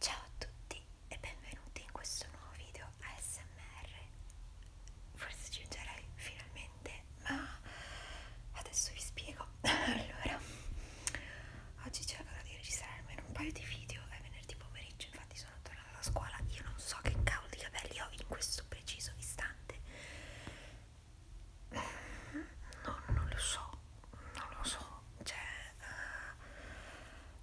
Ciao a tutti e benvenuti in questo nuovo video ASMR. Forse ci aggiungerei finalmente, ma adesso vi spiego. allora, oggi cercherò di registrare almeno un paio di video. È venerdì pomeriggio, infatti sono tornata da scuola. Io non so che cavolo di capelli ho in questo preciso istante. No, non lo so non lo so, cioè uh,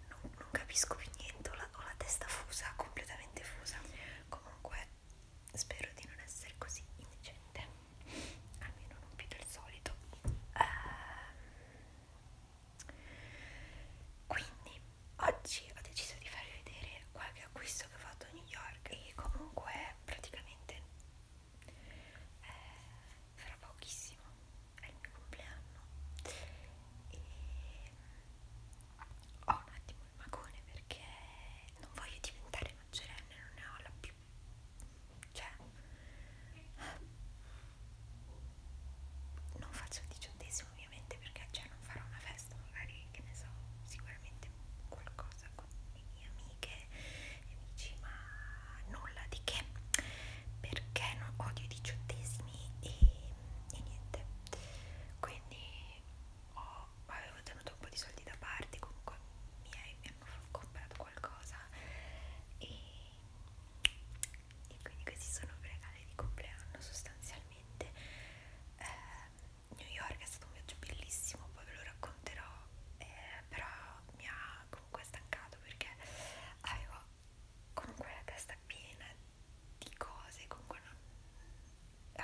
non, non capisco più niente, ho la, ho la testa fusa, completamente fusa. Comunque spero di non essere così indecente, almeno non più del solito. Uh, quindi oggi ho deciso di farvi vedere qualche acquisto che ho fatto a New York e comunque praticamente eh, fra pochissimo è il mio compleanno e ho un attimo il magone perché non voglio diventare maggiorenne, non ne ho la più cioè non faccio il diciottesimo ovviamente perché cioè, non farò una festa magari che ne so sicuramente qualcosa con le mie amiche e mi dici ma nulla di che perché non odio i diciottesimi e, e niente quindi ho, avevo tenuto un po' di soldi da parte comunque i miei mi hanno comprato qualcosa e, e quindi questi sono regali di compleanno sostanzialmente eh, New York è stato un viaggio bellissimo poi ve lo racconterò eh, però mi ha comunque stancato stato perché avevo comunque la testa piena di cose comunque non...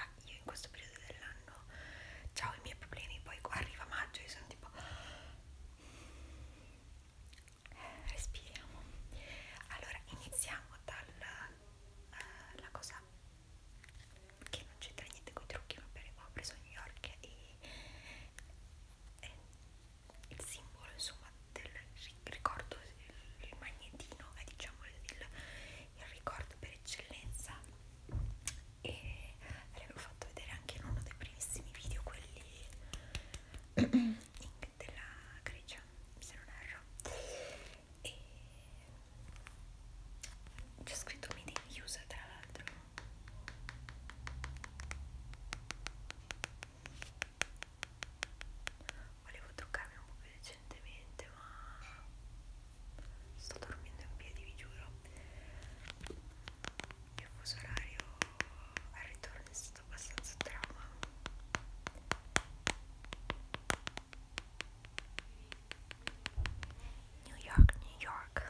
ah, io in questo periodo dell'anno ho i miei problemi poi arriva maggio e sono tipo respiriamo allora iniziamo dalla uh, eh, la cosa che non c'entra niente con i trucchi ma per, ho preso New York e, e il simbolo insomma del ricordo, il magnetino è eh, diciamo il, il ricordo per eccellenza e ve l'avevo fatto vedere anche in uno dei primissimi video quelli della Grecia se non erro e c'è scritto made in USA tra l'altro Volevo toccarmi un po' più decentemente, ma sto dormendo in piedi, vi giuro. Il fuso orario al ritorno è stato abbastanza trauma. New York, New York.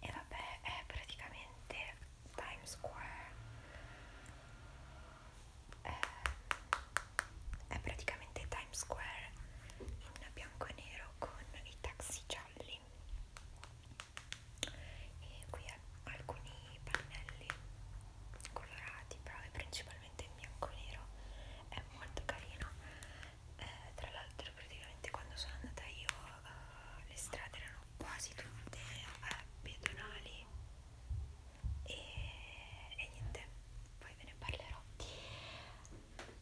E vabbè, è praticamente Times Square. È, eh, è praticamente Times Square in bianco e nero con i taxi gialli e qui alcuni pannelli colorati però è principalmente in bianco e nero è molto carino eh, tra l'altro praticamente quando sono andata io eh, le strade erano quasi tutte eh, pedonali e, e niente poi ve ne parlerò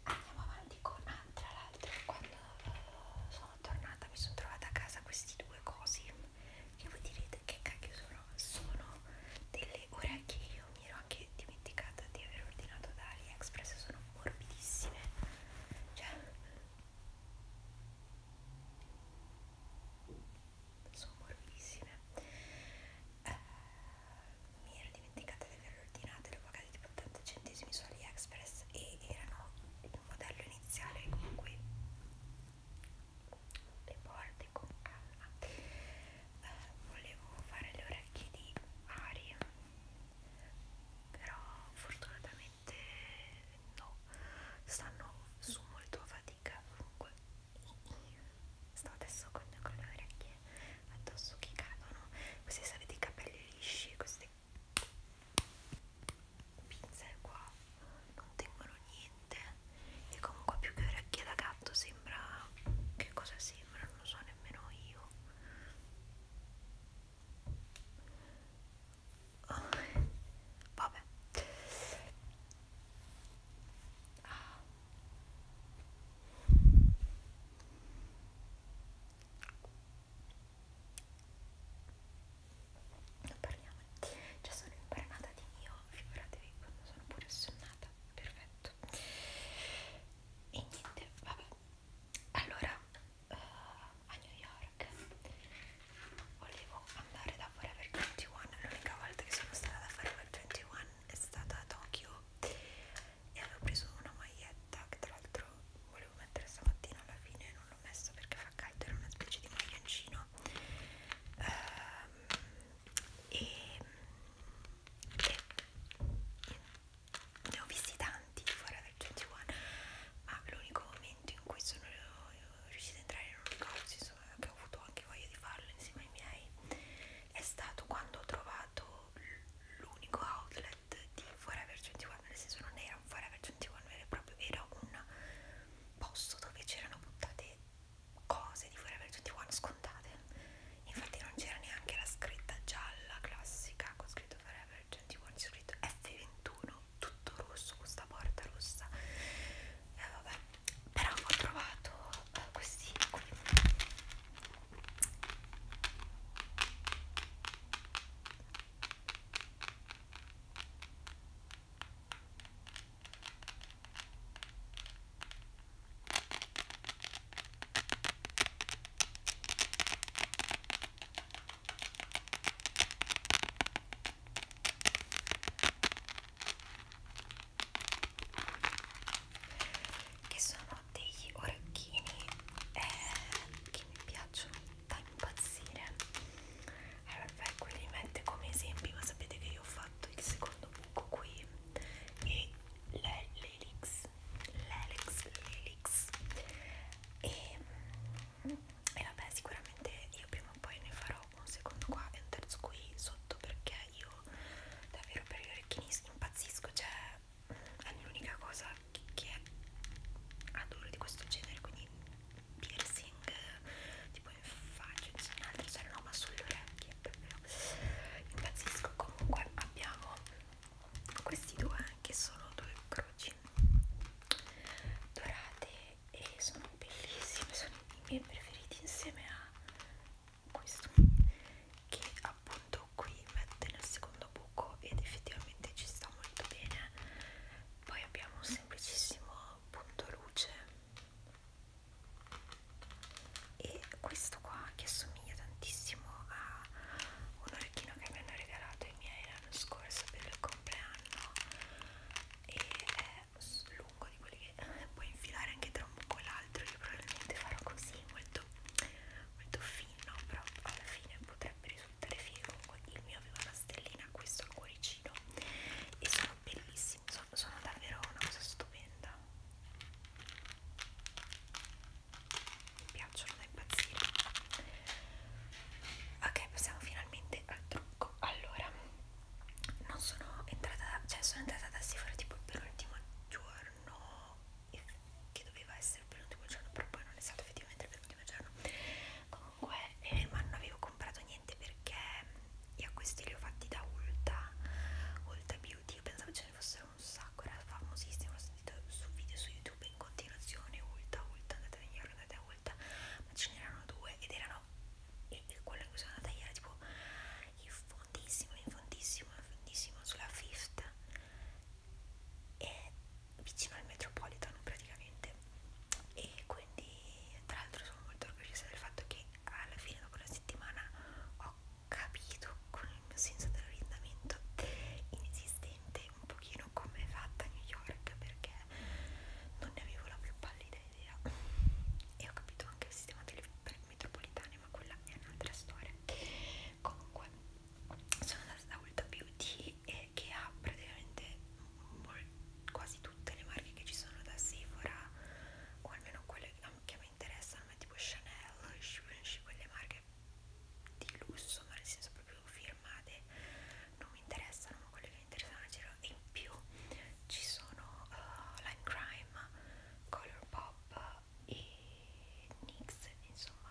andiamo avanti con ah, tra l'altro quando uh, sono tornata mi sono trovata a casa questi due cosi che voi direte che cacchio sono sono delle orecchie io mi ero anche dimenticata di aver ordinato da AliExpress sono morbidissime cioè sono morbidissime eh, mi ero dimenticata di aver ordinato le ho pagate 80 centesimi su AliExpress e erano il modello iniziale comunque le porte con calma uh, volevo fare le orecchie di aria però fortunatamente no stanno su molto a fatica comunque sto adesso con, con le orecchie addosso che cadono queste sono dei capelli lisci queste pinze qua non tengono niente e comunque più che orecchie da gatto sembra che cosa sembra non lo so nemmeno io oh. vabbè ah non parliamo cioè sono imparata di mio figuratevi quando sono pure assonnata perfetto e niente vabbè allora uh, a New York volevo andare da Forever 21 l'unica volta che sono stata da Forever 21 è stata a Tokyo e avevo preso una maglietta maglietta che tra l'altro volevo mettere stamattina alla fine non l'ho messo perché fa caldo era una specie di maglioncino ehm, e, e ne ho visti tanti fuori dal 21 ma l'unico momento in cui sono riuscita ad entrare in un negozio insomma, che ho avuto anche voglia di farlo insieme ai miei è stato quando ho trovato l'unico outlet set di Forever 21, nel senso non era un Forever 21 vero e proprio, era un posto dove c'erano buttate cose di Forever 21 scontate infatti non c'era neanche la scritta gialla classica con scritto Forever 21 c'è scritto F21 tutto rosso, questa porta rossa e eh, vabbè però ho trovato eh, questi qui che sono degli orecchini eh, che mi piacciono fa impazzire allora ecco li mette come esempi ma sapete che io ho fatto il secondo buco qui e l'elix l'elix l'elix e, mm, e vabbè sicuramente io prima o poi ne farò un secondo qua e un terzo qui sotto perché io davvero per gli orecchini impazzisco cioè è l'unica cosa che adoro di questo genere quindi piercing tipo in faccia in altre cioè no ma sulle orecchie proprio impazzisco comunque abbiamo questi due che sono due croci dorate e sono bellissime sono i miei preferiti insieme a questo che appunto qui mette nel secondo buco ed effettivamente ci sta molto bene poi abbiamo un semplicissimo punto luce e questo qua che assomiglia tantissimo a un orecchino che mi hanno regalato i miei l'anno scorso per il compleanno e è lungo di quelli che puoi infilare anche tra un buco e l'altro io probabilmente farò così molto molto fino però alla fine potrebbe risultare risultare figo comunque il mio aveva una stellina questo al cuoricino e sono bellissimi sono, sono davvero una cosa stupenda mi piacciono da impazzire ok passiamo finalmente al trucco allora non sono entrata cioè sono entrata da Sephora tipo per l'ultimo giorno che doveva essere per l'ultimo giorno però poi non è stato effettivamente per l'ultimo giorno comunque eh, ma non avevo comprato niente perché io questi li ho fatti da Ulta Ulta Beauty io pensavo ce ne fossero un sacco era famosissimo l'ho sentito su video su YouTube in continuazione Ulta Ulta andate a ieri andate a Ulta ma ce n'erano due ed erano e quello in cui sono andata ieri era tipo in fondissimo in fondissimo in fondissimo sulla fifth è vicino al metropolitano praticamente e quindi tra l'altro sono molto orgogliosa del fatto che alla fine dopo una settimana ho capito con il mio senso dell'orientamento inesistente un pochino come è fatta New York perché non ne avevo la più pallida idea e ho capito anche il sistema delle metropolitane ma quella è un'altra storia comunque sono andata da Ulta Beauty e che ha praticamente quasi tutte le marche che ci sono da Sephora o almeno quelle che mi interessano ma tipo Chanel, Givenchy, quelle marche di lusso ma nel senso proprio firmate non mi interessano ma quelle che mi interessano girano e in più ci sono uh, Line Crime, Colourpop e NYX insomma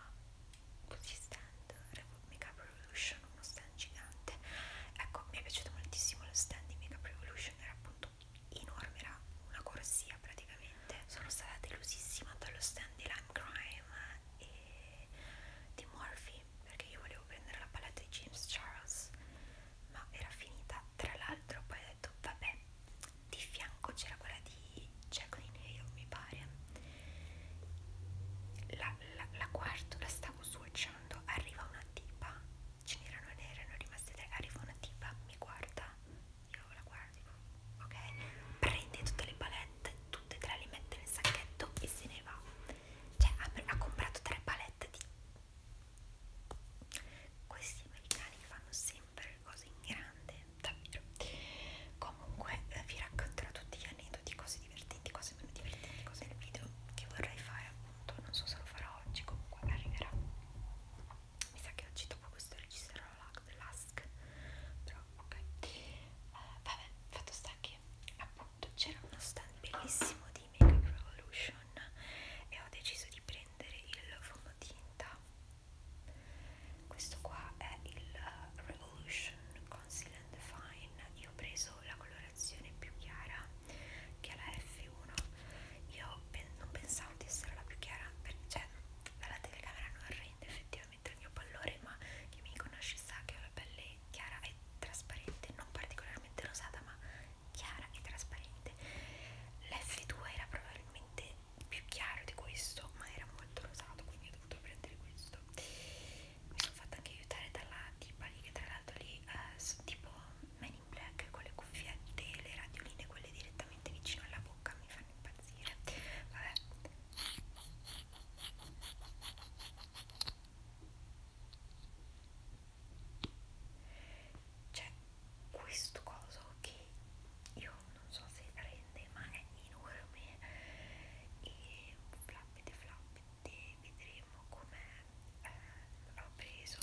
così stand Makeup Revolution uno stand gigante ecco mi è piaciuto moltissimo lo stand di Makeup Revolution era appunto enorme era una corsia praticamente sono stata delusissima dallo stand di Lime Crime e di Morphe perché io volevo prendere la palette di James Charles ma era finita tra l'altro poi ho detto vabbè di fianco c'era quella di Jacqueline Hill mi pare la, la, la quarto la stavo swatchando arriva una tipa ce n'erano nere erano rimaste tre arriva una tipa mi guarda io la guardo ok prende tutte le palette tutte e tre le mette nel sacchetto e se ne va cioè ha, ha comprato tre palette di questi americani fanno sempre cose in grande davvero comunque eh, vi racconterò tutti gli aneddoti cose divertenti, cose meno divertenti, cose nel video che vorrei fare appunto, non so se lo farò oggi, comunque arriverà. Mi sa che oggi dopo questo registrerò l'ASC, però ok. Uh, vabbè, fatto sta che appunto c'era uno stand bellissimo di Makeup Revolution e ho deciso di prendere il fomotinta. Questo qua è il eh, Revolution Concealer and Fine io ho preso la colorazione più chiara che è la F1 io pen non pensavo di essere la più chiara per cioè la telecamera non rende effettivamente il mio pallore ma chi mi conosce sa che ho la pelle chiara e trasparente non particolarmente rosata ma chiara e trasparente l'F2 era probabilmente più chiaro di questo ma era molto rosato quindi ho dovuto prendere questo mi sono fatta anche aiutare dalla tipa lì che tra l'altro lì eh, sono tipo Men in Black con le cuffiette e le radioline quelle direttamente vicino alla bocca mi fanno impazzire vabbè c'è questo coso che io non so se rende ma è enorme e flappete flap quindi vedremo come eh, l'ho preso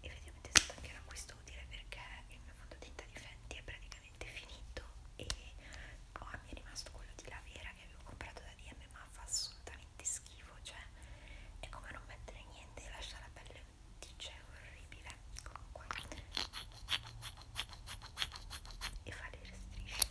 effettivamente è stato anche un acquisto utile perché il mio fondotinta di Fenty è praticamente finito e oh, mi è rimasto quello di Lavera che avevo comprato da DM ma fa assolutamente schifo cioè è come non mettere niente e lasciare la pelle dice orribile comunque e fare le strisce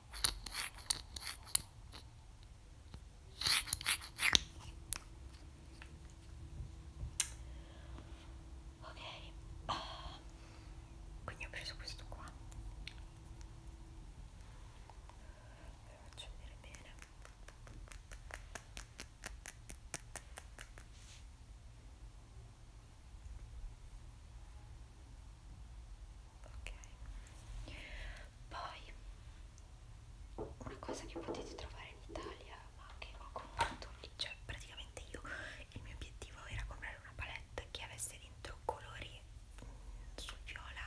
ok uh, quindi ho preso questo qua ve lo faccio vedere bene ok poi una cosa che potete trovare in Italia ma che ho comprato lì cioè praticamente io il mio obiettivo era comprare una palette che avesse dentro colori mh, mm, sul viola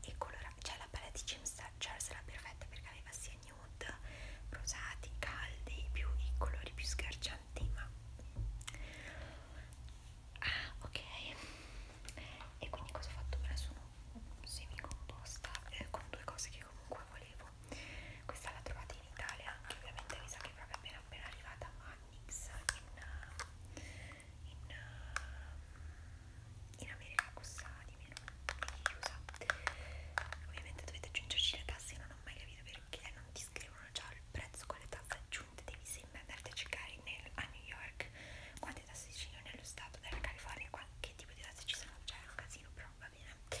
e colorati cioè la palette di James Charles era cioè, perfetta perché aveva sia nude rosati caldi più i colori più sgargianti ma Ah, ok. E quindi cosa ho fatto? Me ne sono semicomposta eh, con due cose che comunque volevo. Questa la trovate in Italia, ovviamente mi sa che è proprio appena appena arrivata a Nix in, in, in America costa di meno di chiusa. Ovviamente dovete aggiungerci le tasse, non ho mai capito perché non ti scrivono già il prezzo con le tasse giù aggiunte devi sempre andare a cercare nel, a New York quanti tassi ci sono nello stato della California, che tipo di tassi ci sono, c'è cioè, un casino però va bene. Uh.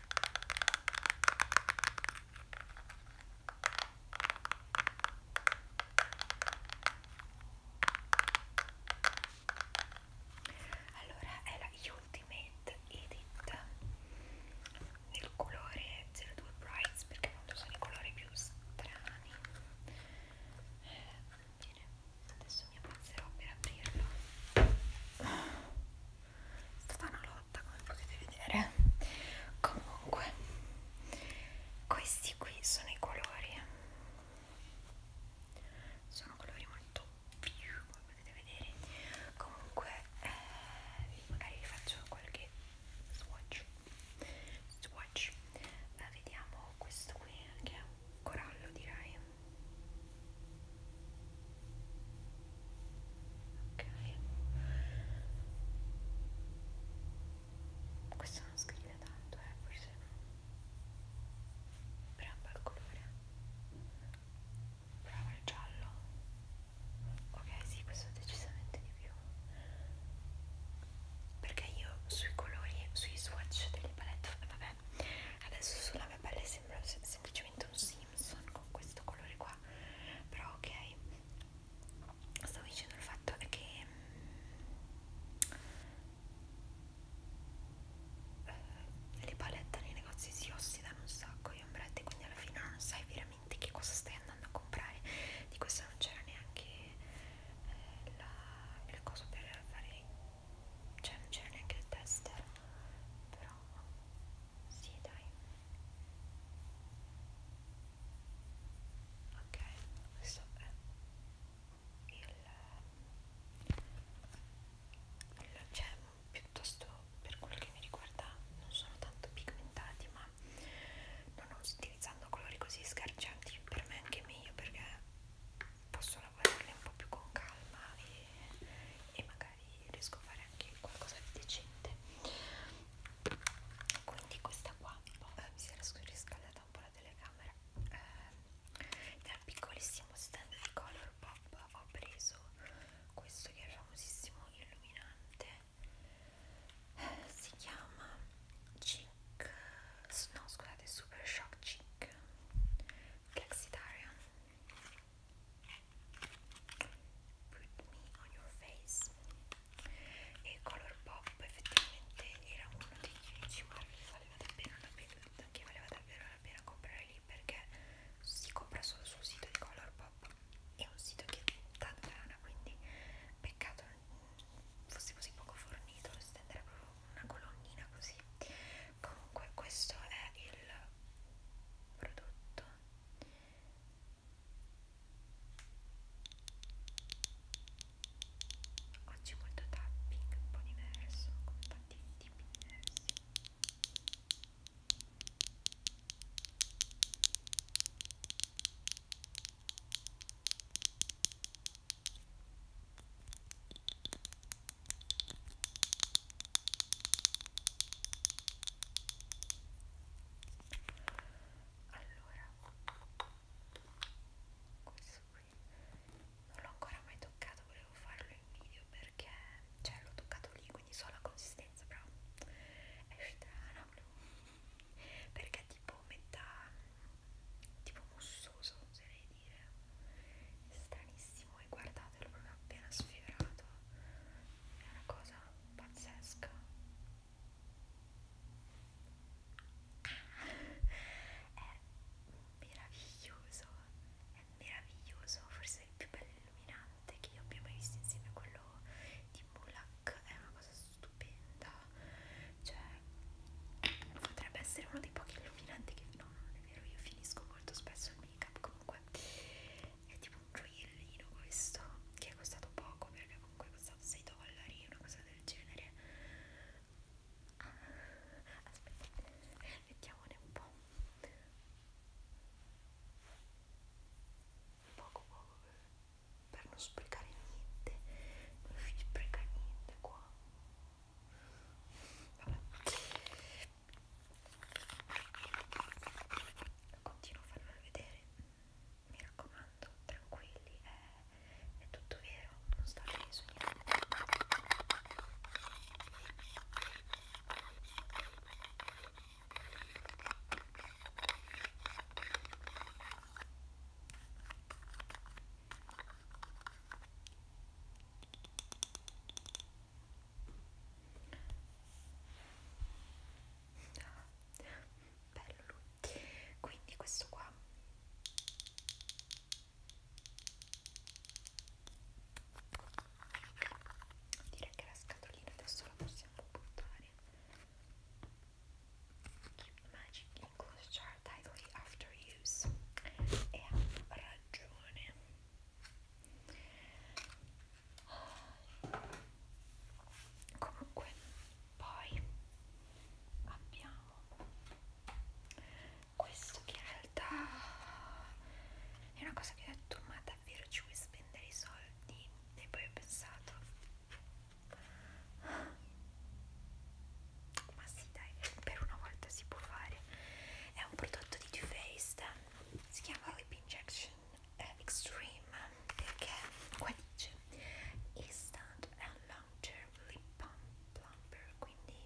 Allora è la Ultimate Edit nel colore 02 Brights perché appunto sono i colori più strani. Eh, bene, adesso mi avanzerò per aprirlo è stata una lotta come potete vedere comunque questi qui sono i colori sono colori molto più come potete vedere comunque eh, magari vi faccio qualche swatch swatch eh, vediamo questo qui che è un corallo direi ok questo non scrive tanto eh forse no però un bel colore prova il giallo ok sì questo decisamente di più perché io sui colori sui swatch delle palette vabbè adesso sulla mia pelle sembra semplicemente un sì Simpson con questo colore qua però ok stavo dicendo il fatto è che eh, le palette nei negozi si ossidano un sacco gli ombretti quindi alla fine non sai veramente che cosa stai andando a comprare di questo non c'era neanche eh, la, la cosa per fare cioè non c'era neanche il tester però bravo sì dai ok questo è il cioè piuttosto per quello che mi riguarda non sono tanto pigmentati ma non utilizzando colori così sgargianti per me è anche meglio perché posso lavorarli un po' più con calma e, e magari riesco a fare anche qualcosa di decente quindi questa qua eh, mi si era riscaldata un po' la telecamera eh, dal piccolissimo stand di Color Pop ho preso questo che è famosissimo illuminante eh, si chiama Chic no scusate Super Shock Chic Flexitarian. Put me on your face. E Color Pop effettivamente era uno degli unici marchi che valeva davvero la pena, che valeva davvero la pena comprare lì perché si compra solo sul sito di Color Pop. È un sito che dà lana, quindi peccato fosse così poco fornito, stendere proprio una colonnina così. Comunque questo è il prodotto oggi molto tapping un po' diverso con tanti tipi diversi allora, questo qui non l'ho ancora mai toccato, volevo farlo in video perché cioè l'ho toccato lì, quindi so la consistenza, però è strana, perché è tipo metà tipo mussoso oserei dire è stranissimo e guardate l'ho proprio appena sfiorato è una cosa pazzesca ah, è meraviglioso è meraviglioso forse il più bello illuminante che io abbia mai visto insieme a quello di Mulak è una cosa stupenda cioè potrebbe essere uno dei pochi illuminanti che no non è vero io finisco molto spesso il make up comunque è tipo un gioiellino questo che è costato poco perché comunque è costato 6 dollari una cosa del genere ah, aspetta mettiamone un po' poco poco per non sprecare niente non si spreca niente qua Vabbè lo continuo a farvelo vedere mi raccomando tranquilli è, è tutto vero non state sognando bello lui quindi questo qua direi che la scatolina adesso la possiamo buttare Keep magic in closed jar tidily after use e ha ragione comunque poi abbiamo questo che in realtà è una cosa che ho detto ma davvero ci vuoi spendere i soldi e poi ho pensato ma sì dai per una volta si può fare è un prodotto di Too Faced si chiama Lip Injection Kitchen Extreme perché qua dice Instant and Long Term Lip Pump Plumper quindi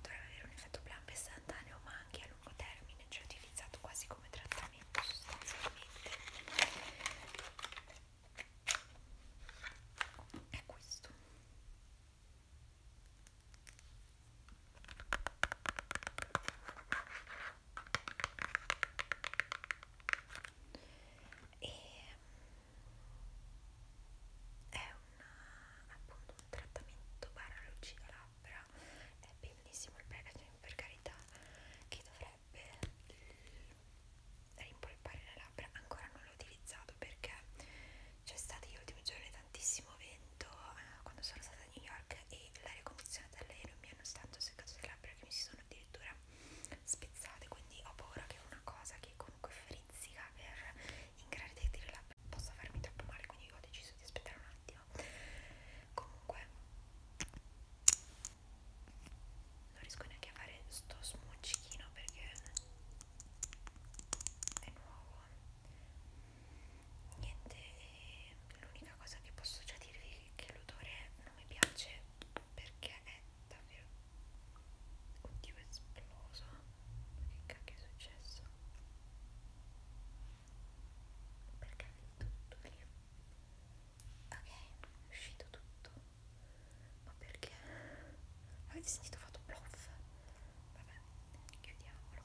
dovrebbe avere un effetto plump istantaneo ma anche a lungo termine cioè utilizzato quasi come trattamento sostanzialmente è questo e ehm, è una, appunto un trattamento barra lucida labbra è bellissimo il packaging per carità che dovrebbe rimpolpare le labbra ancora non l'ho utilizzato perché c'è stato gli ultimi giorni tantissimo vento eh, quando sono stata a New York e l'aria condizionata dell'aereo mi hanno stato seccato le labbra che mi si sono addirittura spezzate quindi ho paura che una cosa che comunque frizzica per ingrandire le labbra possa farmi troppo male quindi ho deciso di aspettare un attimo comunque non riesco neanche a fare sto smuccichino perché è nuovo niente, l'unica cosa che posso già dirvi è che l'odore non mi piace perché è davvero oddio è esploso ma che cacchio è successo perché è tutto lì ok è uscito tutto ma perché avete sentito ho fatto bluff vabbè chiudiamolo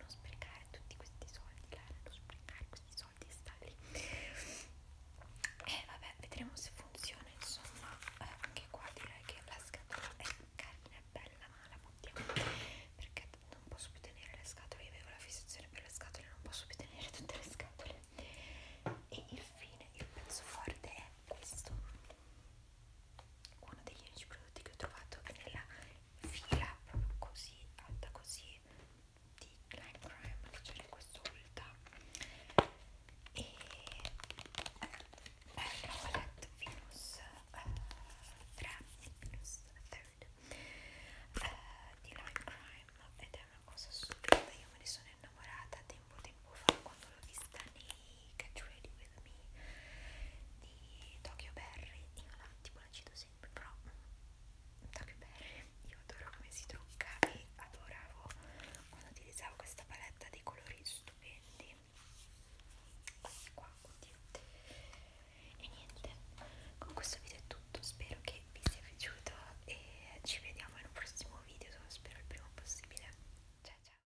non sprecare tutti questi soldi Lara, non sprecare questi soldi e sta lì e eh, vabbè vedremo se funziona insomma eh, anche qua direi che la scatola è carina è bella ma la buttiamo perché non posso più tenere le scatole io avevo la fissazione per le scatole non posso più tenere tutte le scatole e infine il pezzo forte è questo uno degli unici prodotti che ho trovato è nella fila proprio così alta così di Light Crime leggere questo ulta e eh, la palette Venus eh, 3 Venus 3 eh, di Light Crime ed è una cosa stupenda io me ne sono innamorata tempo tempo fa quando l'ho vista nei Catch Ready With Me di Tokyo Berry io la, tipo la cito sempre, però Tokyo Berry io adoro come si trucca e adoravo quando utilizzavo questa paletta dei colori stupendi questi qua, oddio e niente, con questo video è tutto spero che vi sia piaciuto e ci vediamo in un prossimo video spero il prima possibile ciao ciao